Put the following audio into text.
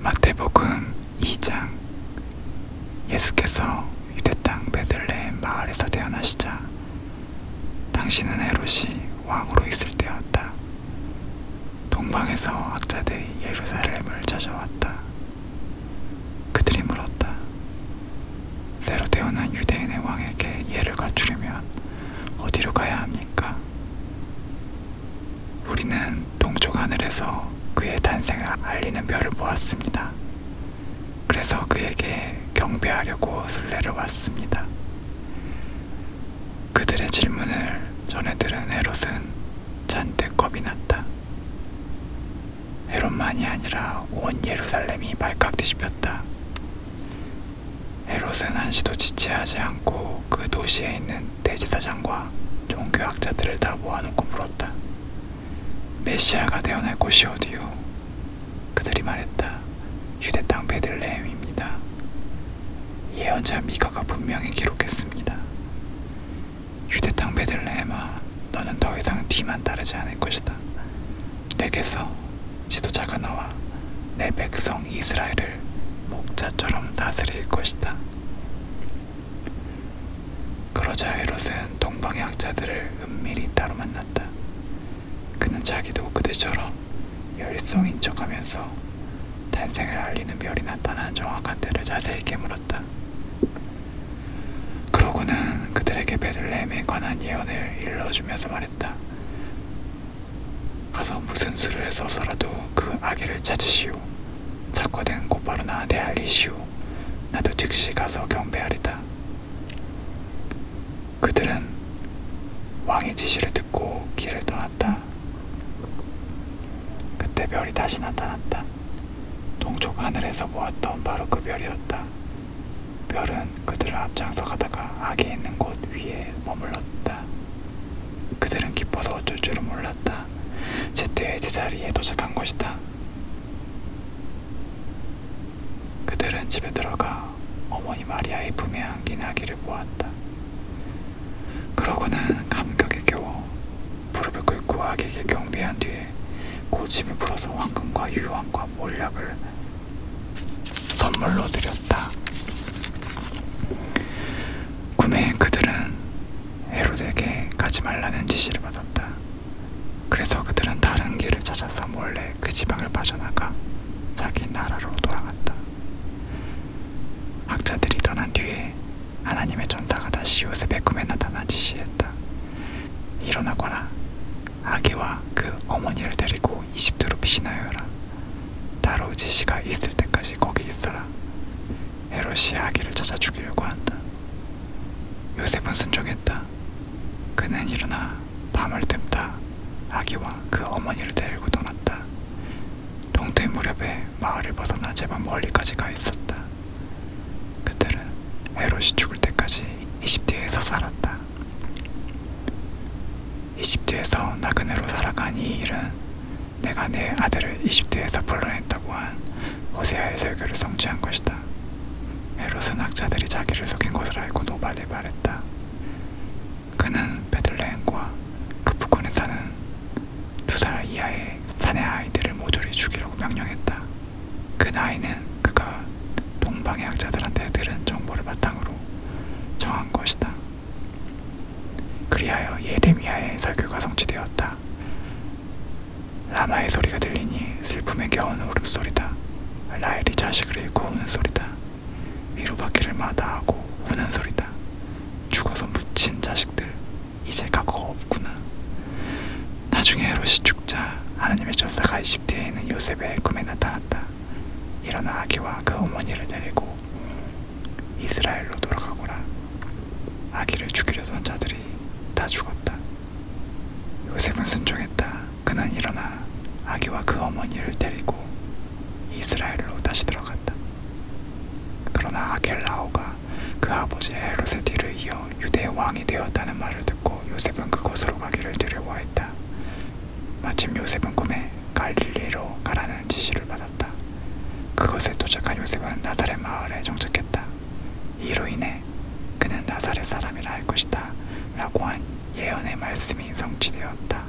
마태복음 2장 예수께서 유대 땅 베들레헴 마을에서 태어나시자 당신은 헤롯이 왕으로 있을 때였다. 동방에서 학자들이 예루살렘을 찾아왔다. 그들이 물었다. 새로 태어난 유대인의 왕에게 예를 갖추려면 어디로 가야 합니까? 우리는 동쪽 하늘에서 그의 탄생을 알리는 별을 보았습니다. 그래서 그에게 경배하려고 순례를 왔습니다. 그들의 질문을 전해들은 헤롯은 잔뜩 겁이 났다. 헤롯만이 아니라 온 예루살렘이 발칵 뒤집혔다. 헤롯은 한시도 지체하지 않고 그 도시에 있는 대지사장과 종교학자들을 다 모아놓고 물었다. 메시아가 태어날 곳이 어디요? 그들이 말했다. 유대 땅 베들레헴입니다. 예언자 미가가 분명히 기록했습니다. 유대 땅 베들레헴아, 너는 더 이상 뒤만 따르지 않을 것이다. 내게서 지도자가 나와 내 백성 이스라엘을 목자처럼 다스릴 것이다. 그러자 헤롯은 동방의 학자들을 은밀히 따로 만났다. 그는 자기도 그들처럼 열성인 척하면서 탄생을 알리는 별이 나타난 정확한 때를 자세히 깨물었다. 그러고는 그들에게 베들레헴에 관한 예언을 일러주면서 말했다. 했다. 가서 무슨 수를 써서라도 그 아기를 찾으시오. 착화된 곧바로 나한테 알리시오. 나도 즉시 가서 경배하리다. 그들은 왕의 지시를 듣고 길을 떠났다. 그때 별이 다시 나타났다. 동쪽 하늘에서 보았던 바로 그 별이었다. 별은 그들을 앞장서 가다가 악이 있는 곳 위에 머물렀다. 그들은 기뻐서 어쩔 줄은 몰랐다. 제때의 제자리에 도착한 것이다. 그들은 집에 들어가 어머니 마리아의 품에 안긴 아기를 보았다. 그러고는 감격에 겨워 무릎을 꿇고 아기에게 경배한 뒤에 대해 고집이 불어서 황금과 유황과 몰약을 선물로 드렸다. 구매인 그들은 헤롯에게 가지 말라는 지시를 받았다. 그래서 그들은 다른 길을 찾아서 몰래 그 지방을 빠져나가 자기 나라로 돌아갔다. 학자들이 떠난 뒤에 하나님의 전사가 다시 요셉의 꿈에 나타나 지시했다. 일어나거라. 아기와 그 어머니를 데리고 이집트로 피신하여라. 다로지시가 있을 때까지 거기 있어라. 헤롯이 아기를 찾아 죽이려고 한다. 요셉은 순종했다. 그는 일어나 밤을 뜸다 아기와 그 어머니를 데리고 떠났다. 동태 무렵에 마을을 벗어나 제법 멀리까지 가 있었다. 그들은 헤롯이 죽을 때까지 이집트에서 살았다. 이집트에서 나그네로 살아간 이 일은 내가 내 아들을 이집트에서 불러냈다고 한 호세아의 설교를 성취한 것이다. 헤롯은 학자들이 자기를 속인 것을 알고 노발에 말했다. 그는 베들레헴과 그 북권에 사는 2살 이하의 사내 아이들을 모조리 죽이라고 명령했다. 그 나이는 그가 동방의 학자들한테 들은 정보를 바탕으로 정한 것이다. 그리하여 예레미야의 설교가 성취되었다. 라마의 소리가 들리니 슬픔에 겨운 울음소리다. 라엘이 자식을 잃고 우는 소리다. 위로받기를 마다하고 우는 소리다. 죽어서 묻힌 자식들, 이제 각오가 없구나. 나중에 롯이 죽자 하나님의 전사가 이집트에 있는 요셉의 꿈에 나타났다. 일어나 아기와 그 어머니를 데리고 이스라엘로 돌아가거라. 아기를 죽이려던 자들이 다 죽었다. 요셉은 순종했다. 그는 일어나 아기와 그 어머니를 데리고 이스라엘로 다시 들어갔다. 그러나 아겔라오가 그 아버지 헤로세디를 이어 유대 왕이 되었다는 말을 듣고 요셉은 그곳으로 가기를 두려워했다. 마침 요셉은 꿈에 갈릴리로 가라는 지시를 받았다. 그곳에 도착한 요셉은 나사렛 마을에 정착했다. 이로 인해 그는 나사렛 사람이라 할 것이다 라고 한 예언의 말씀이 성취되었다.